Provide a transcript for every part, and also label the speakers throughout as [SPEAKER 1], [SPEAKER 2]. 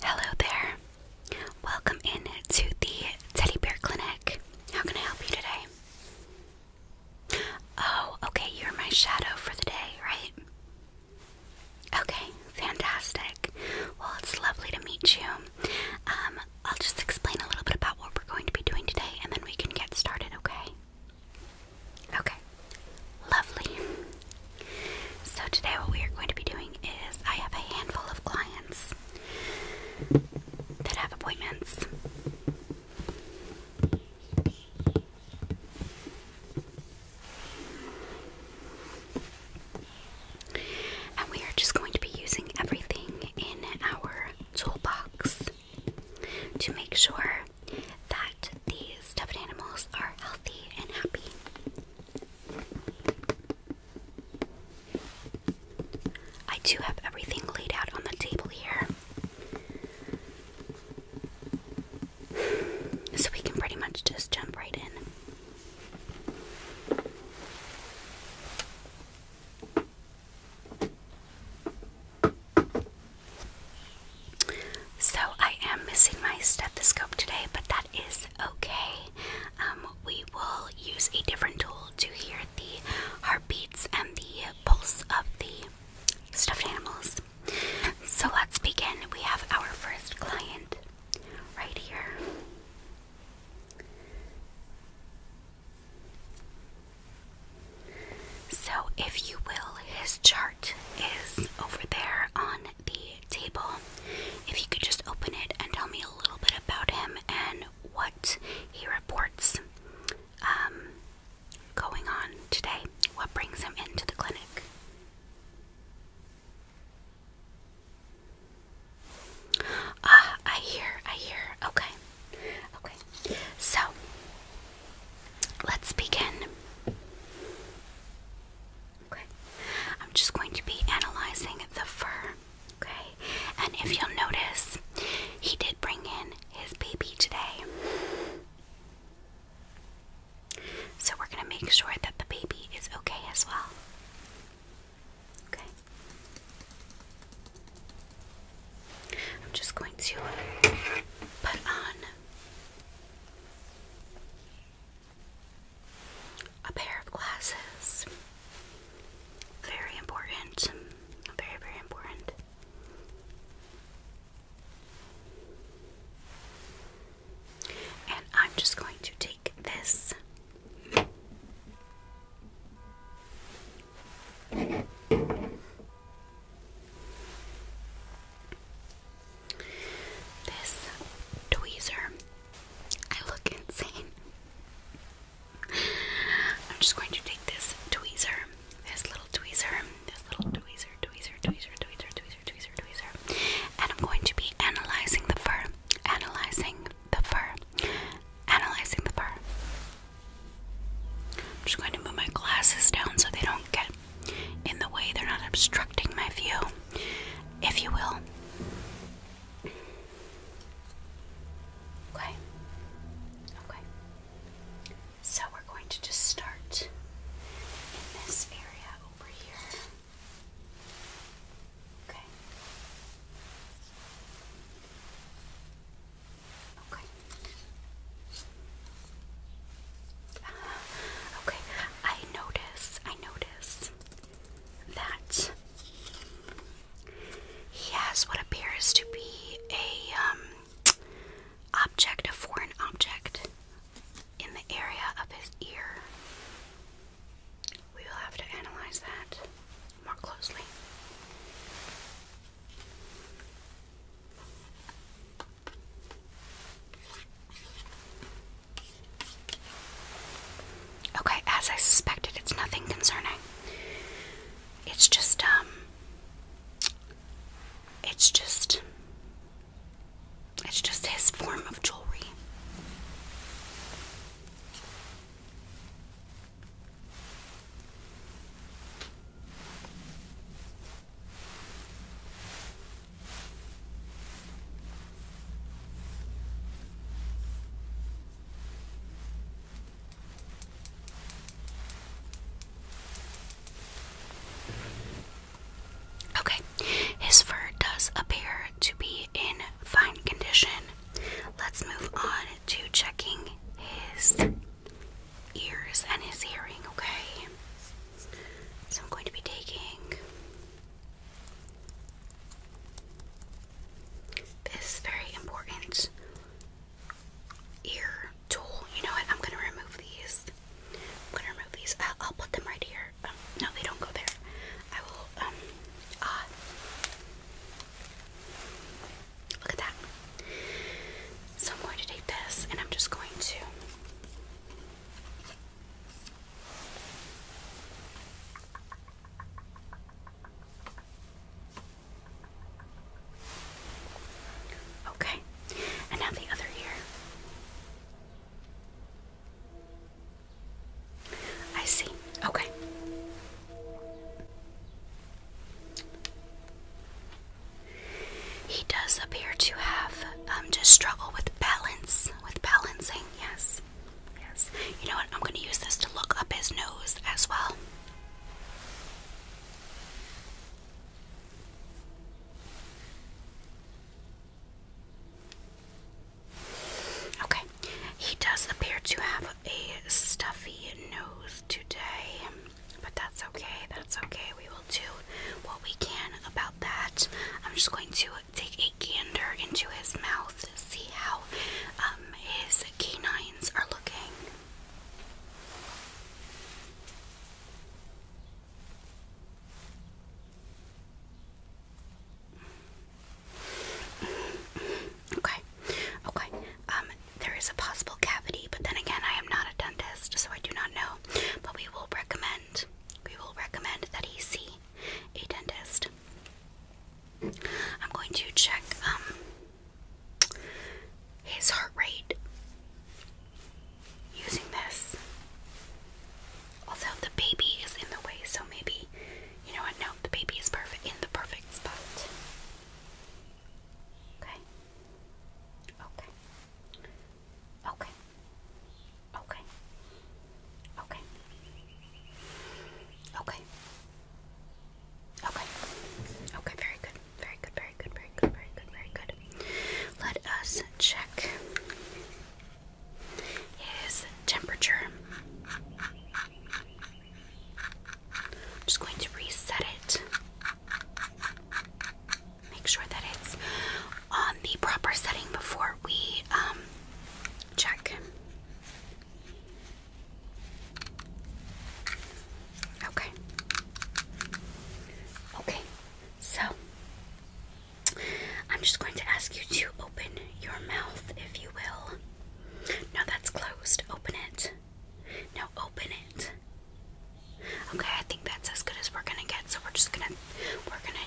[SPEAKER 1] Hello there. Welcome in to the Teddy Bear Clinic. How can I help you today? Oh, okay, you're my shadow for the day, right? Okay, fantastic. Well, it's lovely to meet you. Um, I'll just explain a little bit about what we're going to be doing today and then we can get started, okay? Okay, lovely. So today what we are going to be doing is I have a handful of clients that have appointments. And we are just going to be using everything in our toolbox to make sure that these stuffed animals are healthy and happy. I do have everything laid out on the table here. So we can pretty much just jump right in. So I am missing my stethoscope today, but that is okay. Um, we will use a different tool to hear the heartbeats and the pulse of the stuffed animals. So let's begin. We have our first client right here. So, if you will, his chart is over there on the table. If you could just open it and tell me a little bit about him and what he reports um, going on today, what brings him into the clinic. Ah, I hear, I hear. Okay. Okay. So, let's begin. Okay, I'm just going to be analyzing the fur. Okay, and if you'll notice, he did bring in his baby today. So we're going to make sure that the baby is okay as well. Okay. I'm just going to put on a pair of glasses. Very important. Very, very important. And I'm just going to take this. This tweezer, I look insane. I'm just going to take this tweezer, this little tweezer, this little tweezer, tweezer, tweezer, tweezer, tweezer, tweezer, tweezer, and I'm going to be analyzing the fur, analyzing the fur, analyzing the fur. I'm just going to move my glasses down so they don't get in the way they're not obstructing my view, if you will. Okay. Okay. So we're going to just start in this area over here. Okay. Okay okay, I notice, I notice that he has what appears to be a um, object, a foreign object, in the area of his ear. We will have to analyze that more closely. Okay, as I suspected, it's nothing concerning. It's just, um, it's just, it's just his form of jewelry. Okay, his fur does appear to be in fine condition. Let's move on to checking his ears and his hearing, okay? So I'm going to be taking this very important ear tool. You know what? I'm gonna remove these. gonna remove these. I'll put them right here. Um, no, they don't go there. I will. Um, ah. look at that. So I'm going to take this, and I'm just going to Okay, and now the other ear. I see. Okay. He does appear to have um, just struggle with balance, with balancing. Yes, yes. You know what? I'm going to use this to look up his nose as well. Okay, he does appear to have a stuffy nose today, but that's okay. That's okay. We will do what we can about that. I'm just going to take a gander into his mouth, to see how um, his canines are looking. Okay, okay. Um, there is a possible cavity, but then again, I am not a dentist, so I do not know. But we will recommend we will recommend that he see a dentist. I'm going to check um, his heart rate using this. Although the baby is in the way, so maybe, you know what? No, the baby is perfect in the perfect spot. Okay. Okay. Okay. Okay. Okay. Okay. Okay. Okay, very good. Very good, very good, very good, very good, very good. Let us check his temperature. just going to reset it make sure that it's on the proper setting before we um, check. Okay. Okay, so I'm just going to ask you to open your mouth, if you will. No, that's closed. Open it. No, open it. Okay, I think that's as good as we're gonna get, so we're just gonna we're gonna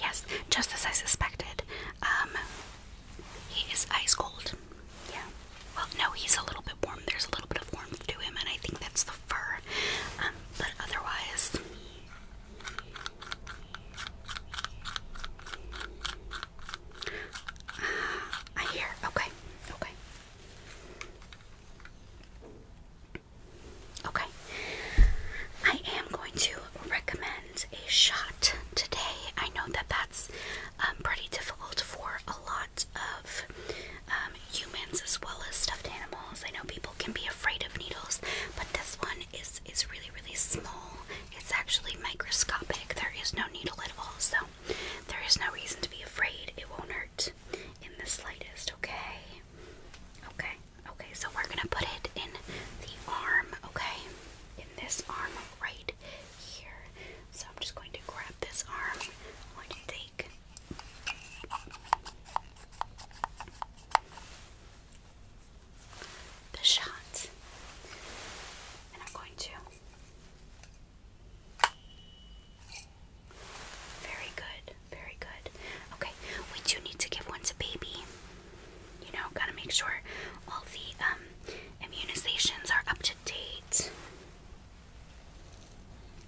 [SPEAKER 1] Yes, just as I suspected. Um, he is ice cold. Yeah. Well, no, he's a little bit warm. There's a little bit of warmth to him, and I think that's the fur. Um, but otherwise. Uh, I hear. Okay. Okay. Okay. I am going to recommend a shot today. I know that that's um, pretty difficult for a lot of um, humans as well as stuffed animals. I know people can be afraid of needles, but this one is is really really small. It's actually microscopic. There is no needle at all, so there is no reason to be afraid. It won't hurt in the slightest. Okay. Okay. Okay, so we're gonna put it in the arm, okay? In this arm right here. So I'm just going to grab this arm. I'm going to take the shot. And I'm going to. Very good, very good. Okay, we do need to give one to baby you know, gotta make sure all the um, immunizations are up to date.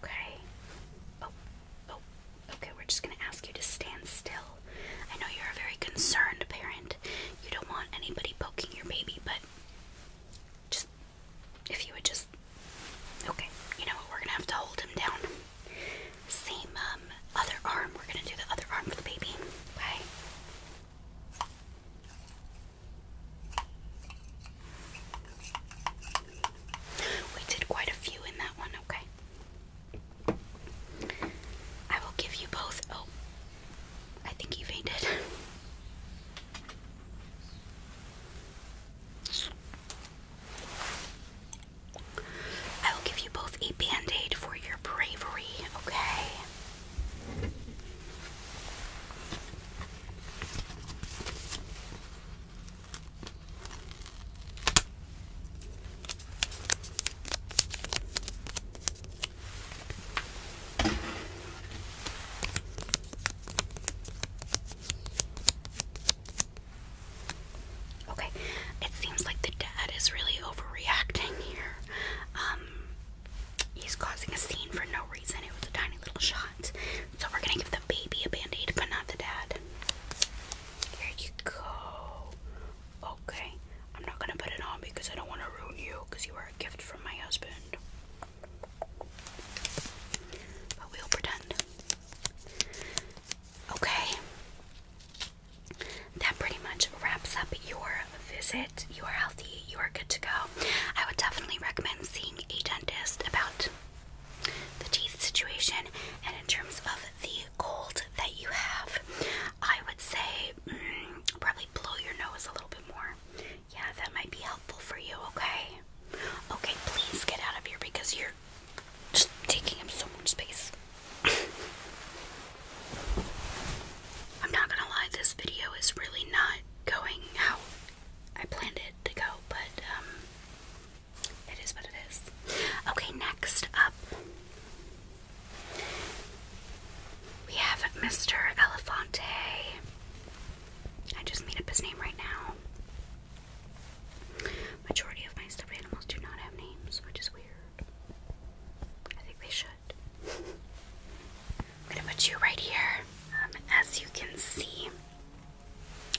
[SPEAKER 1] Okay. Oh, oh, okay, we're just gonna ask you to stand still. I know you're a very concerned parent. You don't want anybody poking your baby, but just if you would just. Okay, you know what? We're gonna have to hold him down. Same um, other arm. We're going to do the other arm for the baby. Okay? We did quite a few in that one, okay? I will give you both. Oh, I think you fainted. I will give you both a band aid for your bravery, okay? Okay, it seems like the dad is really overreacting here. Um, he's causing a scene for no reason. It was a tiny little shot. So we're gonna give the baby a band aid, but not the dad. Here you go. Okay, I'm not gonna put it on because I don't want to ruin you because you are a gift from my husband. But we'll pretend. Okay that pretty much wraps up your visit. You are healthy, you are good to go. I would definitely recommend seeing a dentist about the teeth situation and in terms of the cold that you have. I would say mm, probably blow your nose a little bit more. Yeah, that might be helpful for you, okay? Okay, please get out of here because you're just taking up so much space. I'm not gonna lie, this video is really not going how I planned it to go, but um, it is what it is. Okay, next up, we have Mr. Elefante. I just made up his name right now. Majority of my stuffed animals do not have names, which is weird. I think they should. I'm gonna put you right here. Um, as you can see,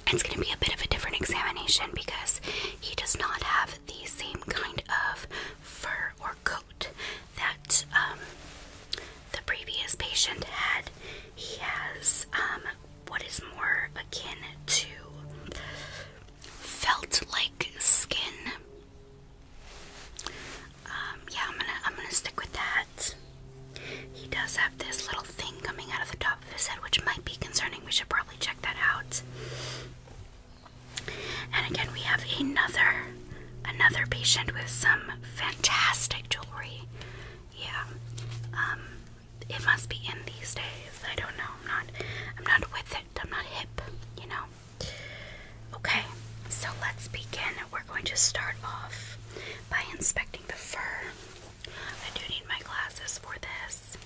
[SPEAKER 1] it's gonna be a bit of a different examination because he does not have the same kind of fur or coat that um, the previous patient had. He has um, what is more akin to felt like skin. Um, yeah, I'm gonna I'm gonna stick with that. He does have this little thing coming out of the top of his head, which might be concerning. We should probably check that out. And again, we have another another patient with some fantastic jewelry. Yeah, um, it must be in these days. I don't know. I'm not I'm not with I'm not hip, you know. Okay, so let's begin. We're going to start off by inspecting the fur. I do need my glasses for this.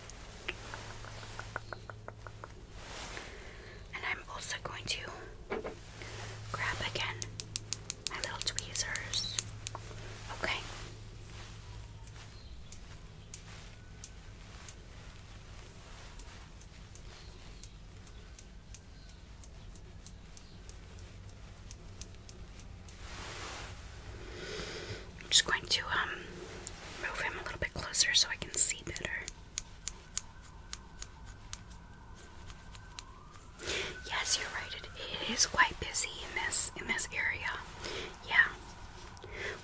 [SPEAKER 1] And I'm also going to grab again my little tweezers. Okay. I'm just going to um move him a little bit closer so I can see better. Yes, you're right. It, it is quite busy in this in this area. Yeah.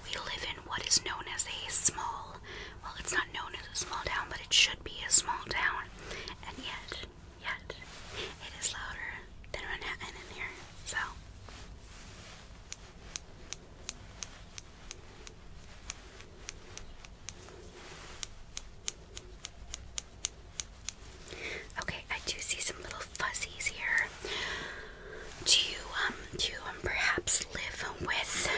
[SPEAKER 1] We live in what is known as a small, well, it's not known as a small town, but it should be a small town. And yet, yet, it is louder than Manhattan in here, so. Okay, I do see some little fuzzies here. Do you um do you um, perhaps live with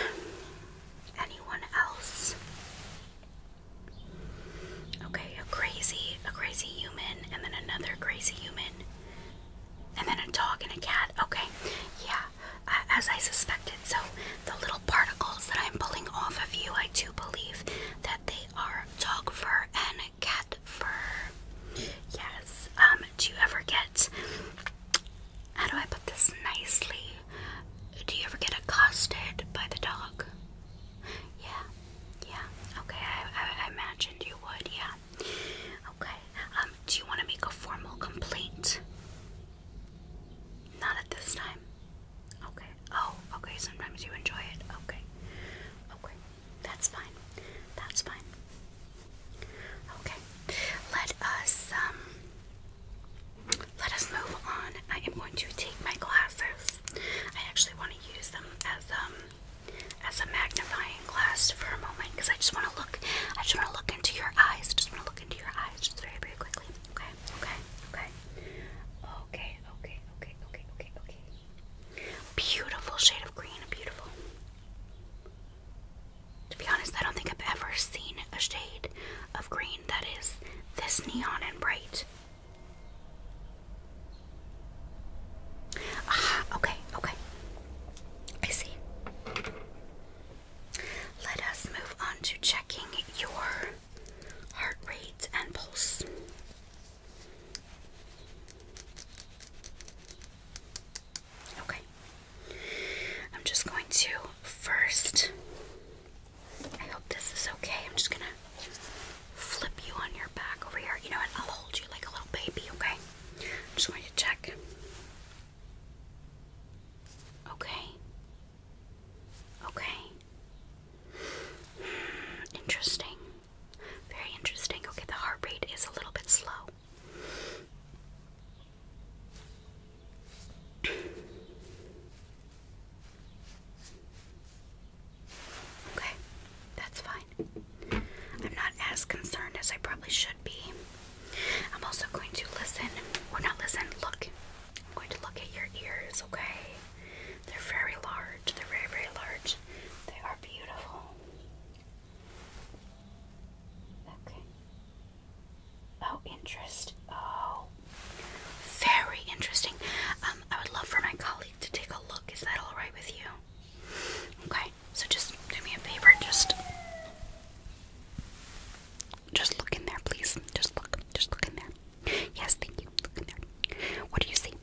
[SPEAKER 1] anyone else? Okay, a crazy a crazy human and then another crazy human. And then a dog and a cat. Okay, yeah, as I suspected. So, the little particles that I'm pulling off of you, I do believe that they are dog fur and cat fur. Yes. Um, do you ever get how do I put this nicely? Do you ever get accosted by the dog? Yeah, yeah. Okay, I, I, imagined you would. Yeah. Okay. Um, do you want to make a formal complaint? Not at this time. Okay. Oh, okay. Sometimes you enjoy it. Okay. Okay. That's fine. That's fine. Okay, let us um, let us move on. I am going to take my glasses. I actually want to use them as um as a magnifying glass for a moment because I just want to look. I just want to look into your eyes. just want to look into your eyes just very very quickly. okay, okay, okay, okay, okay, okay, okay. Beautiful shade of green. Beautiful. To be honest, I don't think I've ever seen a shade of green that is this neon and bright. Ah, okay, okay. I see. Let us move on to checking your heart rate and pulse. Okay. I'm just going to first, I hope this is okay. I'm just going to flip you on your back over here. You know what? I'll hold you like a little baby, okay? I'm just going to check. Okay. Okay. Hmm, interesting. Very interesting. Okay, the heart rate is a little bit slow. Okay, that's fine. I'm not as concerned as I probably should be. I'm also going to listen, or not listen, look. I'm going to look at your ears, okay? They're very large. They're very, very large. They are beautiful. Okay. Oh, interest. Oh, very interesting. Um, I would love for my colleague to take a look. Is that all right with you? Okay. So just do me a favor. Just, just look in there, please. Just look. Just look in there. Yes, thank you. Look in there. What do you see?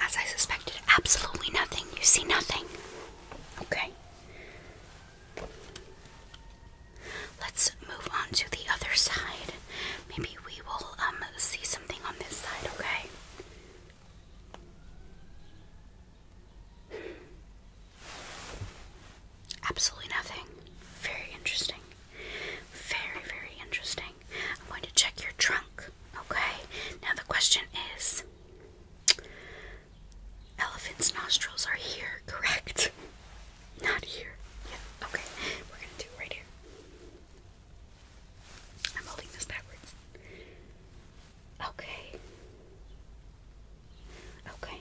[SPEAKER 1] As I suspected, absolutely nothing. You see nothing. Okay. Let's move on to the other side. Maybe we will um see something on this side, okay? Absolutely nothing. Very interesting. Very, very interesting. I'm going to check your trunk, okay? Now the question is Elephant's nostrils are here, correct? Not here. Yeah, okay. We're gonna do right here. I'm holding this backwards. Okay. Okay.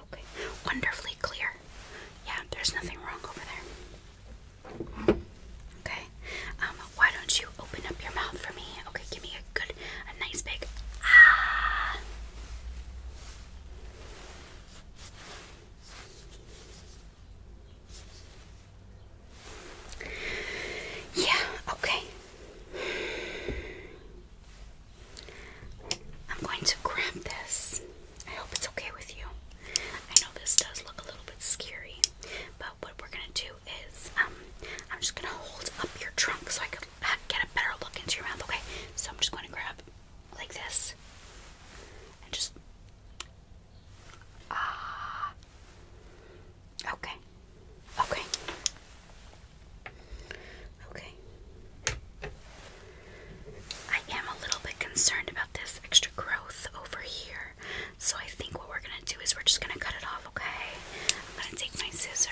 [SPEAKER 1] Okay. Wonderfully clear. Yeah, there's nothing wrong over there. Okay. Um, why don't you open up your mouth for me? Okay, give me a good, a nice big ah. Yeah, okay. I'm going to grab this. I hope it's okay with you. I know this does look a little bit scary, but what we're gonna do is um, I'm just gonna hold up your trunk so I can get a better look into your mouth. Okay, so I'm just gonna grab like this and just ah. okay. Okay. Okay. I am a little bit concerned about this extra growth over here. So I think what we're going to do is we're just going to cut it off okay? I'm gonna take my scissor.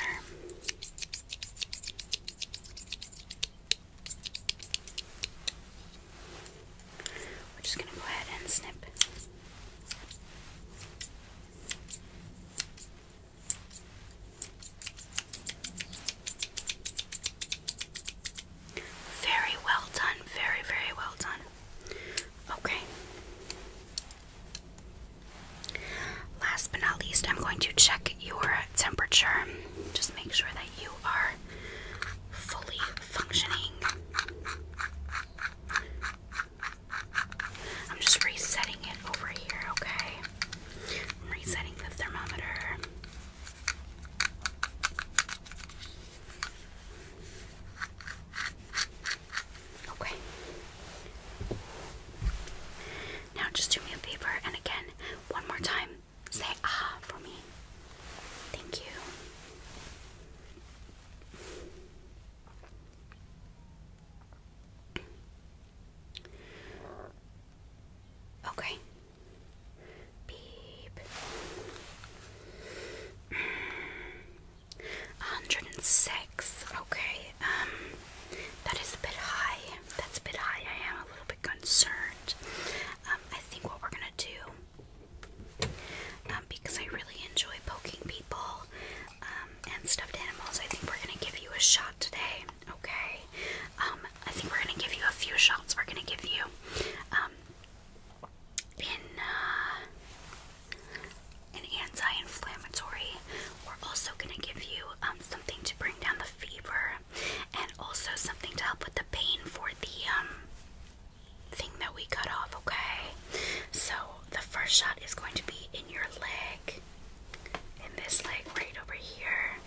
[SPEAKER 1] We're just gonna go ahead and snip. Very well done, very, very well done. Okay. Last but not least, I'm going to check your temperature. Just make sure that you are fully functioning. I'm just resetting it over here, okay? resetting the thermometer. Okay. Now just do me a favor and again, one more time, say ah for me. Thank you. Okay. Beep. 106. Okay, um, that is a bit high. That's a bit high. I am a little bit concerned. Um, I think what we're gonna do, um, because I really enjoy poking people um, and stuffed animals, I think we're gonna give you a shot today. Okay, um, I think we're gonna give you a few shots. We're gonna give you, um, in uh, an anti-inflammatory. We're also going to give you um, something to bring down the fever, and also something to help with the pain for the um, thing that we cut off. Okay, so the first shot is going to be in your leg, in this leg right over here.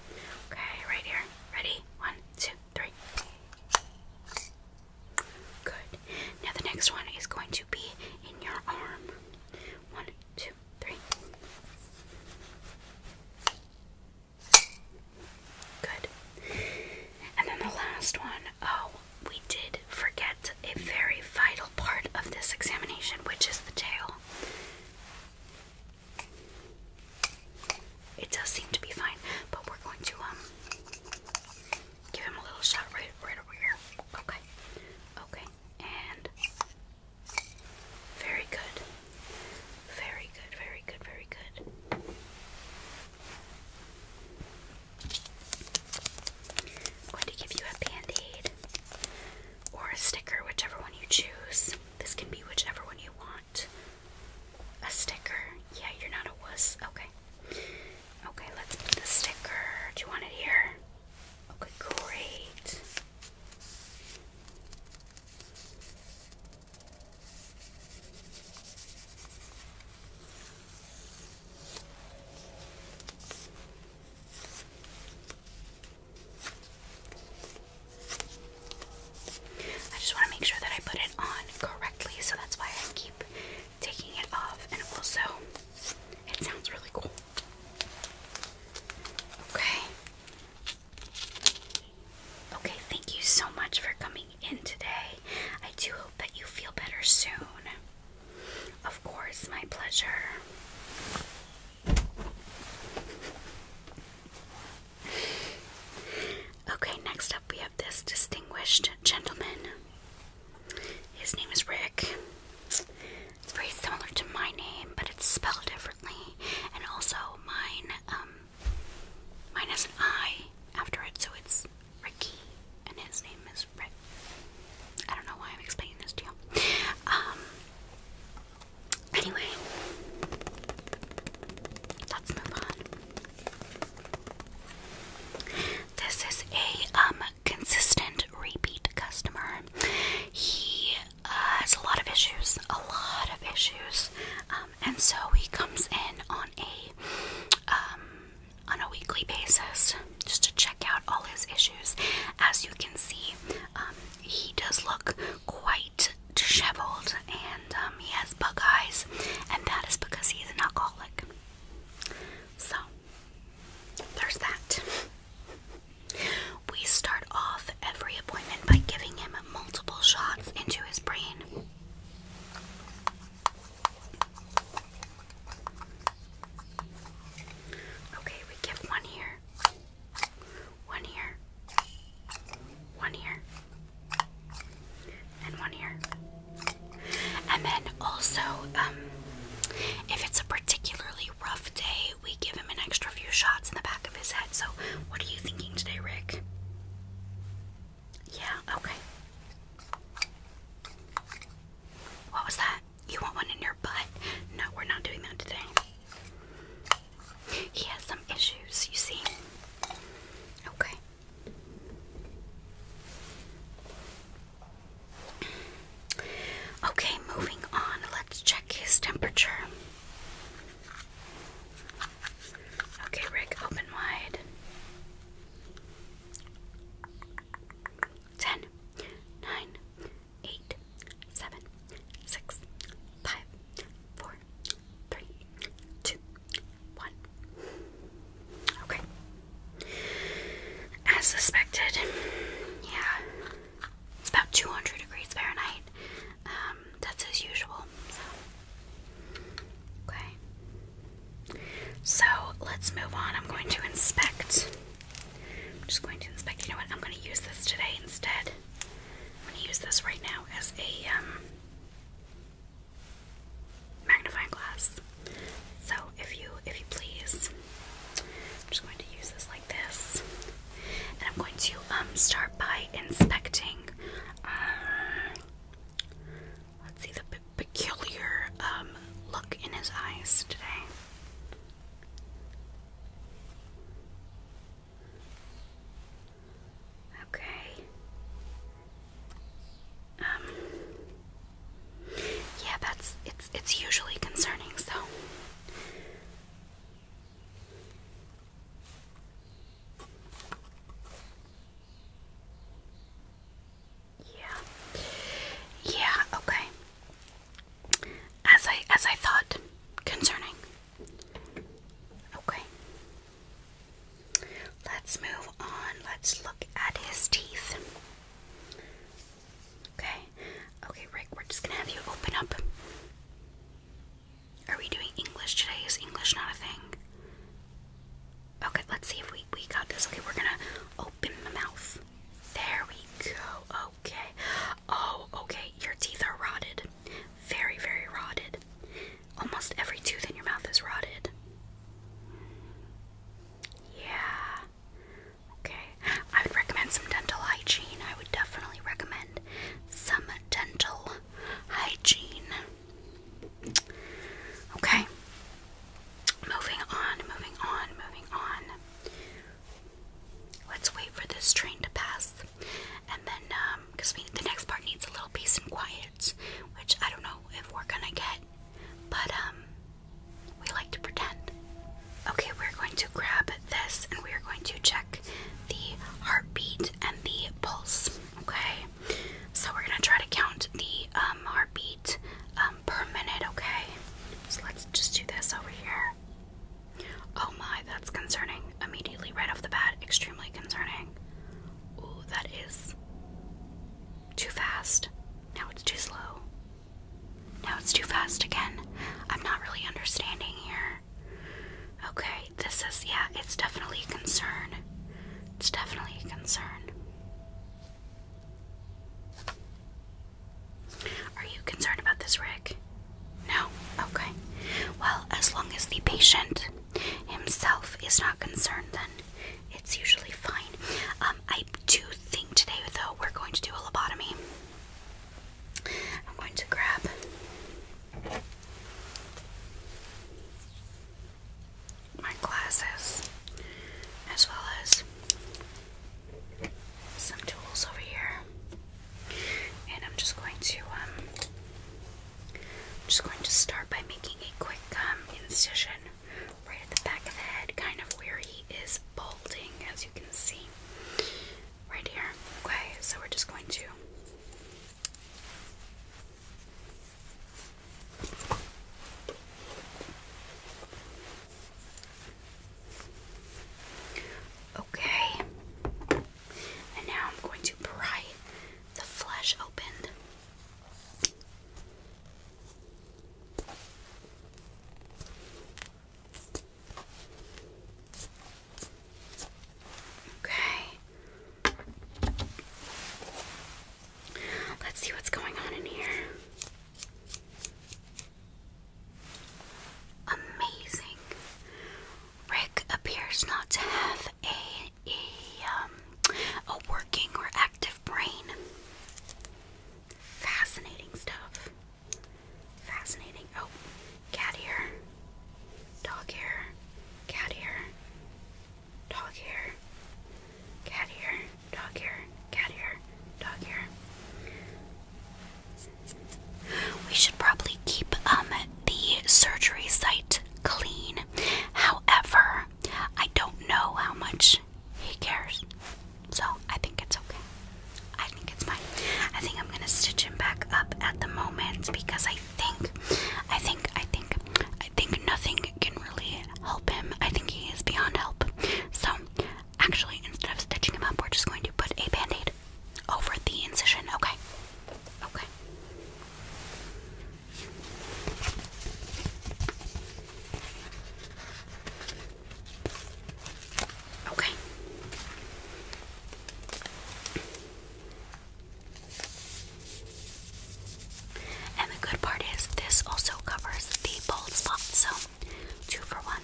[SPEAKER 1] Okay, right here. Ready? One, two, three. Good. Now the next one is going to be in your arm. One, two, three. Good. And then the last one, oh, we did forget a very vital part of this examination, which is the tail. It does seem to be fine, but we're going to um give him a little shot right, right over here. Okay. Okay. And very good. Very good. Very good. Very good. I'm going to give you a band-aid or a sticker, whichever one you choose. This can be whichever one you want. A sticker. Yeah, you're not a wuss. Okay. Okay, let's put the sticker. Do you want it here? Okay, great. I just want to make sure that I put it on correctly, so that's why I keep taking it off, and also it sounds really cool. Okay. Okay, thank you so much for coming in today. I do hope that you feel better soon. Of course, my pleasure. Okay, next up we have this distinguished gentleman. His name is Rick. It's very similar to my name, but it's spelled differently. And also mine, um, mine has an I after it, so it's Ricky, and his name is Rick. I don't know why I'm explaining this to you. Um, anyway, let's this is a um, consistent repeat customer. He uh, has a lot of issues, a lot of issues, um, and so he comes in on a um, on a weekly basis just to check out all his issues. As you can see, he does look quite disheveled, and he has bug eyes, and that is because he is an alcoholic. So, there's that. We start off every appointment by giving him multiple shots into his brain. Okay, we give one here, one here, one here, and one here. And then also, um, if it's a particularly rough day, we give him an extra few shots in the back of his head. So, what are you thinking today, Rick? Yeah, okay. What was that? You want one in your butt? No, we're not doing that today. He has some issues, you see. Okay. Okay, moving on. Let's check his temperature. Okay, Rick, open wide. 10, one. Okay. As suspected, yeah, it's about 200 degrees Fahrenheit. Um, that's as usual. So. Okay. So let's move on. I'm going to inspect. I'm just going to inspect. You know what? I'm going to use this today instead. I'm going to use this right now as a um, magnifying glass. So if you if you please, I'm just going to use this like this. And I'm going to um, start by inspecting uh, let's see the peculiar um, look in his eyes today. Okay. Um, yeah, that's it's it's usually concerning. So. Yeah. Yeah, okay. As I as I thought concerning. Okay. Let's move on. Let's look at his teeth. Okay. Okay, Rick, we're just gonna have you open up. Are we doing English today? Is English not a thing? Okay, let's see if we, we got this. Okay, we're gonna open the mouth. There we go. Okay. Oh, okay. Your teeth are rotted. Very, very rotted. Almost every tooth in your mouth is rotted. Yeah. Okay. I would recommend some dental hygiene. I would definitely recommend some dental hygiene. Okay. Moving on, moving on, moving on. Let's wait for this train to pass. And then, um, because the next part needs a little peace and quiet which I don't know if we're gonna get, but um, we like to pretend. Okay, we're going to grab this and we're going to check the heartbeat and the pulse. Okay, so we're gonna try to count the um, heartbeat um, per minute. Okay, so let's just do this over here. Oh my, that's concerning. Immediately right off the bat, extremely concerning. Ooh, that is too fast. Now it's too slow. Now it's too fast again. I'm not really understanding here. Okay, this is, yeah, it's definitely a concern. It's definitely a concern. Are you concerned about this, Rick? No? Okay. Well, as long as the patient himself is not concerned, then it's usually fine. Um, I do think today, though, we're going to do a lobotomy. I'm going to grab my glasses as well as some tools over here, and I'm just going to um, just going to start by making a quick um, incision right at the back of the head, kind of where he is balding, as you can see. Right here. Okay, so we're just going to. Okay, and now I'm going to pry the flesh open. Okay. Let's see what's going on in here. Amazing. Rick appears not to have a a, um, a working or active brain. Fascinating stuff. Fascinating. Oh, cat ear, dog ear, cat ear, dog ear, cat ear, dog ear, cat ear, dog ear. We should probably keep um, the surgery site clean. However, I don't know how much he cares. So I think it's okay. I think it's fine. I think I'm gonna stitch him back up at the moment because I think, I think, I think, I think nothing can really help him. I think he is beyond help. So actually, instead of stitching him up, we're just going to put a band aid over the incision. Okay. Okay. Okay. And the good part is this also covers the bald spot, so two for one.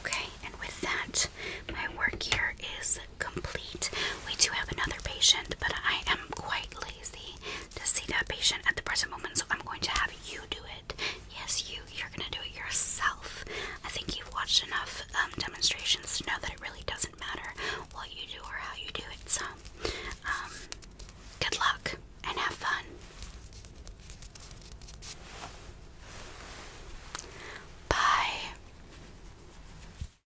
[SPEAKER 1] Okay, and with that, my work here is complete. We do have another patient, but I am quite lazy to see that patient at the present moment, so I'm going to have you do it. Yes, you. You're going to do it yourself. I think you've watched enough um, demonstrations to know that it really doesn't matter what you do or how you do it. So, um, good luck and have fun. Bye.